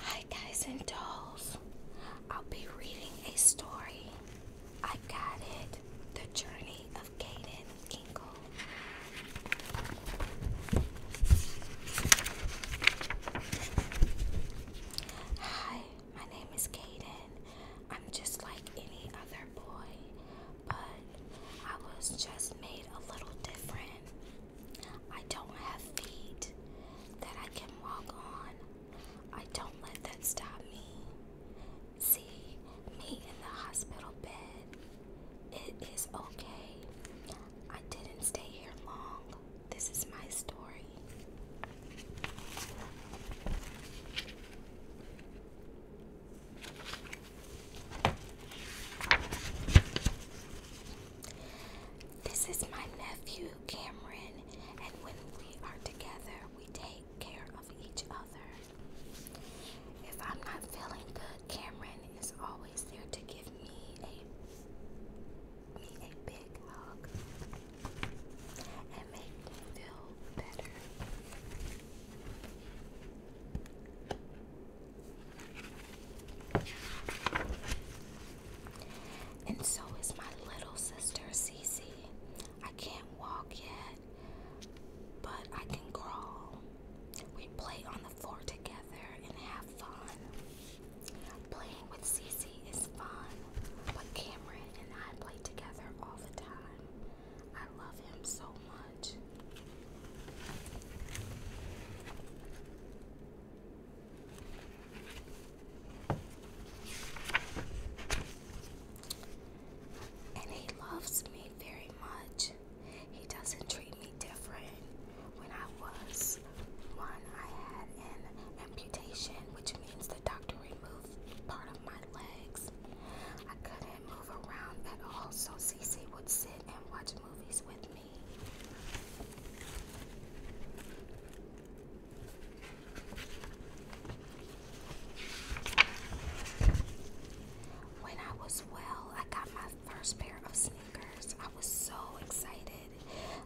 Hi, guys and dolls. I'll be reading a story. I got it. The Journey of Caden Ingle. Hi, my name is Caden. I'm just like any other boy, but I was just made a little different. I don't have feet that I can walk on. I don't let that stop me. See, me in the hospital bed. It is okay. I didn't stay here long. This is my story. This is my nephew Cameron, and when we are together, we take care of each other. If I'm not feeling good, Cameron is always there to give me a me a big hug and make me feel better. And so is my little sister Cece. I can't walk yet, but I can crawl. We play on the floor together and have fun. Playing with Cece is fun, but Cameron and I play together all the time. I love him so much. And he loves me very much. He doesn't treat me different. When I was one, I had an amputation, which means the doctor removed part of my legs. I couldn't move around at all, so Cece would sit and watch movies with me. When I was well, I got my first pair of sneakers. I was so excited.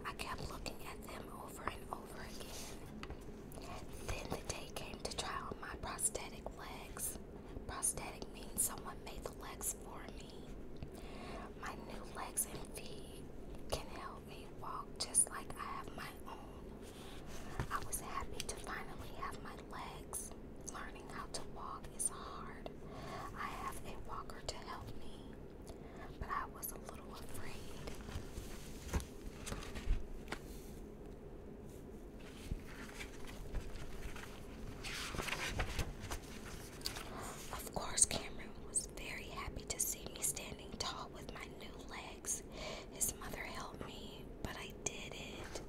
I kept looking at them over and over again. Then the day came to try on my prosthetic legs. Prosthetic means someone made the legs for me. My new legs and feet can help me walk just like I have my own. I was happy to finally have my legs. Learning how to walk is hard. I have a walker to help me, but I was a little afraid. Of course, Cameron was very happy to see me standing tall with my new legs. His mother helped me, but I did it.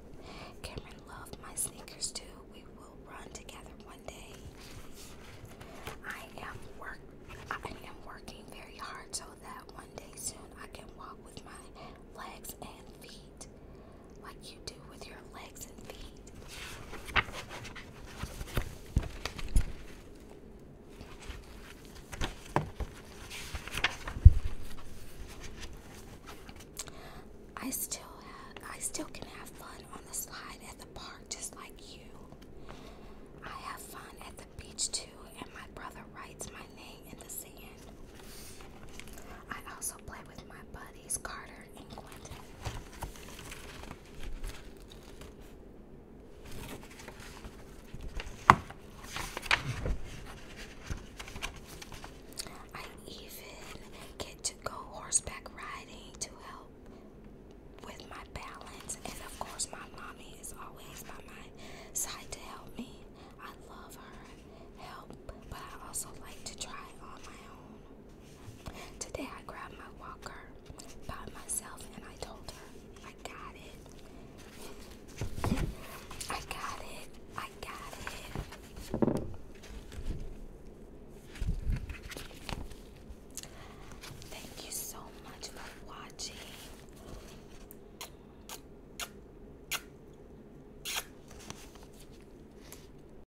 Cameron loved my sneakers too. We will run together one day. I am work I am working very hard so that one day soon I can walk with my legs and feet like you do with your legs and feet. I still have, I still can have fun on the slide at the park just like you. I have fun at the beach too and my brother writes my name in the sand. I also play with my buddy. Carter and Quentin. I even get to go horseback riding to help with my balance, and of course, my mommy is always by my side to help me. I love her help, but I also like to try on my own. Today I grabbed my walker by myself and I told her, I got it. I got it. I got it. Thank you so much for watching.